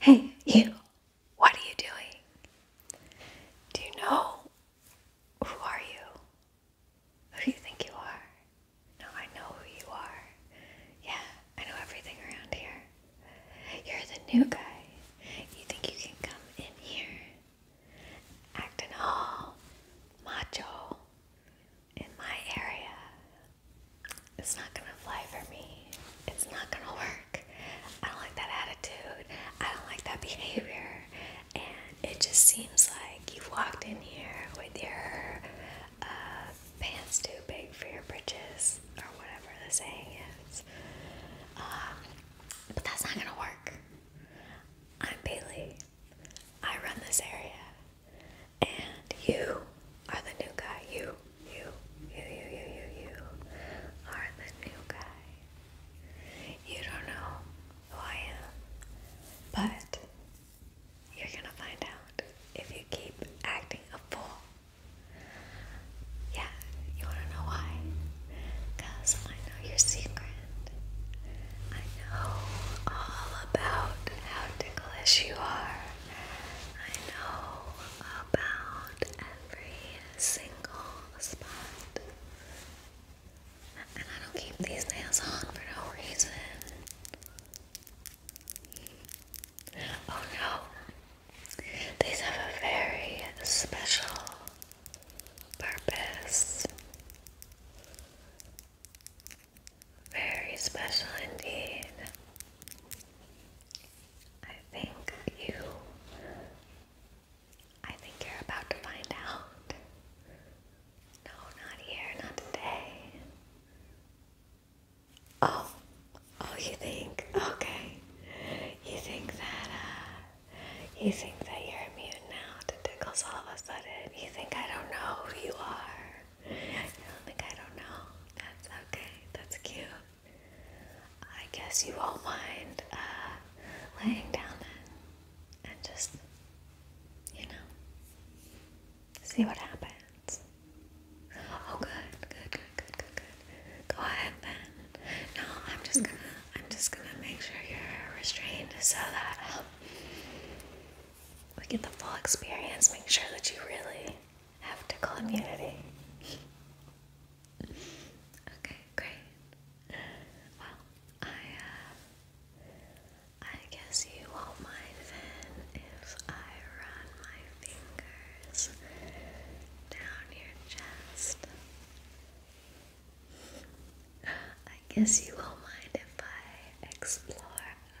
Hey, you, what are you doing? Do you know? Who are you? Who do you think you are? No, I know who you are. Yeah, I know everything around here. You're the new guy. You think you can come in here acting all macho in my area? it's not gonna fly for me. It's not gonna work. I don't like that attitude. I don't like that behavior. And it just seems like you've walked in here with your uh, pants too big for your britches, or whatever the saying is. Um, but that's not gonna work. I'm Bailey. I run this area. And you are the new guy. You, you, you, you, you, you, you are the new guy. You don't know who I am, but you're gonna find out if you keep acting a fool. Yeah, you wanna know why? Because I know your secret. I know all about how ticklish you are. I know about every single spot. And I don't keep these nails on for no reason. Oh no. These have a very special purpose. Very special indeed. I think you. I think you're about to find out. No, not here, not today. Oh, oh, you think? Okay. You think that, uh, you think that you're immune now to tickles all of a sudden? You think I don't know who you are? like I don't know. That's okay. That's cute. I guess you won't mind uh, laying down then and just, you know, see what happens. Oh, good, good, good, good, good, good. Go ahead then. No, I'm just gonna, I'm just gonna make sure you're restrained so that we get the full experience, make sure that you really have tickle immunity. okay, great. Well, I uh, I guess you won't mind if I run my fingers down your chest. I guess you won't mind if I explore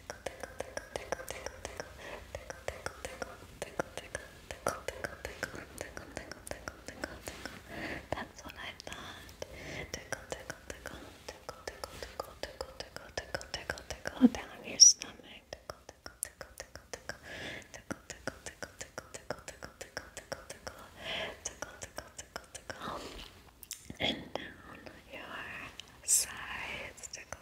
that's what I thought. Tickle, tickle, tickle, tickle, tickle, tickle, tickle, tickle, tickle, tickle, tickle down your stomach. Tickle, tickle, tickle, tickle, tickle, tickle, tickle, tickle, tickle, tickle, tickle, tickle, tickle, tickle, tickle, tickle, tickle, tickle, and down your sides. Tickle.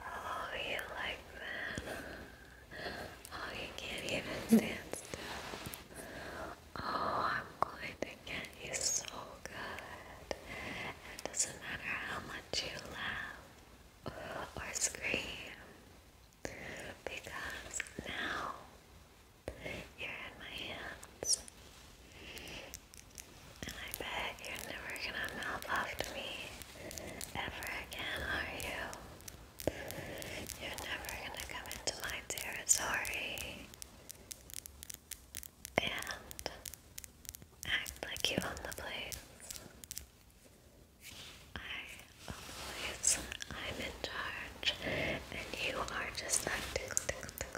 Oh, you like that? Oh, you can't even stand still. Oh, I'm going to get you so good. It doesn't matter how much you laugh or scream, because now you're in my hands. And I bet you're never gonna mouth off to me ever again, are you? You're never gonna come into my territory and act like you own the place. I own the place, I'm in charge, and you are just that tickle, tickle, tickle,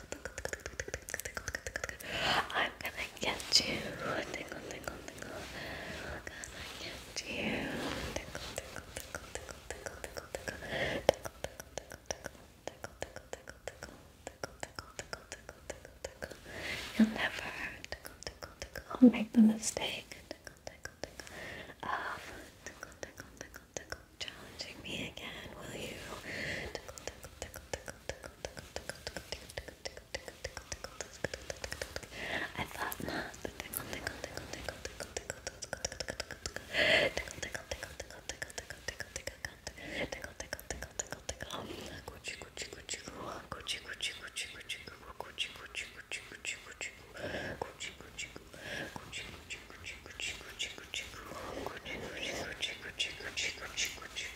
I'm gonna get you. I'm gonna get you. Tickle, tickle, tickle, tickle, tickle, tickle, You'll never Make the mistake. Of Challenging me again, will you? I thought not. Tickle, tickle, tickle, tickle, tickle, tickle, tickle, tickle, tickle, tickle, tickle, tickle, tickle, tickle, tickle, tickle, tickle.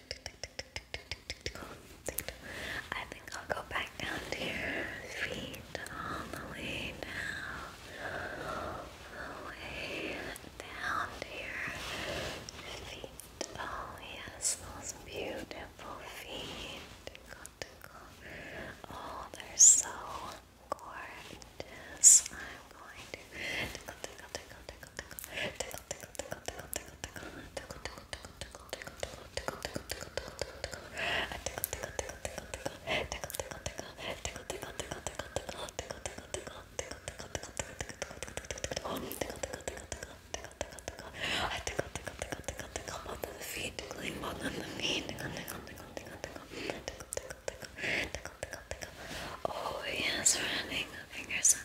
I think I'll go back down to your feet all the way down, all the way down to feet. Oh yes, those beautiful feet. Oh, they're so gorgeous. I'm going tickle, tickle, tickle, tickle, tickle, tickle, tickle, tickle, tickle, tickle, tickle, tickle, tickle, tickle, tickle, tickle, tickle, tickle, tickle, Oh yes, running fingers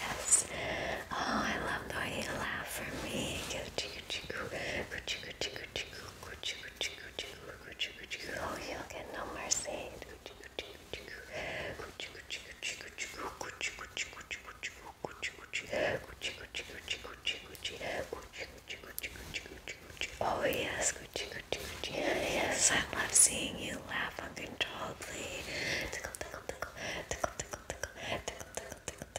Yes. Oh, I love the way you laugh for me. Oh, you'll get no mercy. Oh yes, yes, I love seeing you laugh uncontrollably. Tickle, tickle, tickle, tickle, tickle, tickle, tickle, tickle, tickle,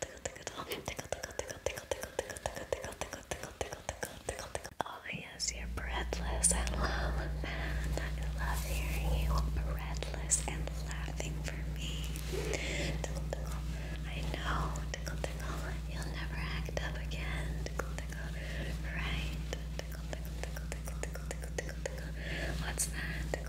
tickle, tickle, tickle, tickle, tickle, tickle, tickle, tickle, tickle, tickle, tickle, tickle, tickle, tickle, Oh yes, you're breathless and loud, I love hearing you breathless and laughing for me. I know. You'll never act up again. Right. What's that?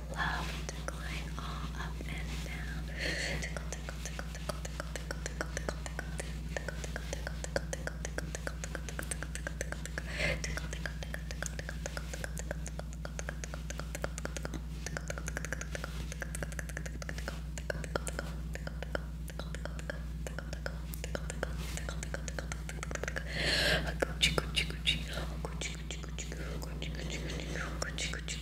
love decline all up and down. Tickle, tickle, tickle, tickle, tickle, tickle, tickle, tickle, tickle, tickle, tickle, tickle, tickle, tickle, tickle, tickle, tickle, tickle, tickle, tickle,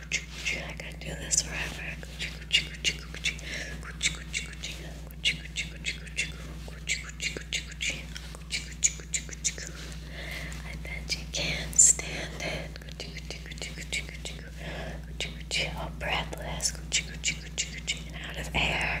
I gotta do this forever. I bet you can't stand it. All breathless. Out of air.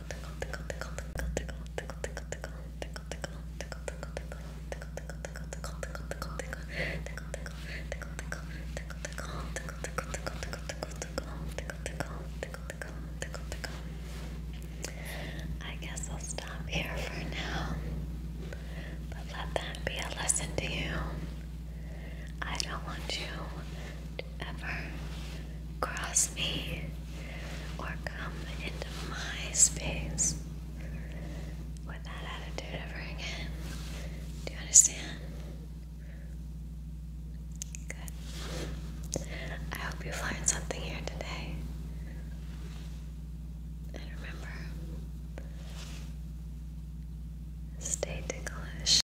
I guess I'll stop here for now. But let that be a lesson to you. I don't want you ever cross me or come into my space with that attitude ever again. Do you understand? Good. I hope you've something here today. And remember, stay ticklish.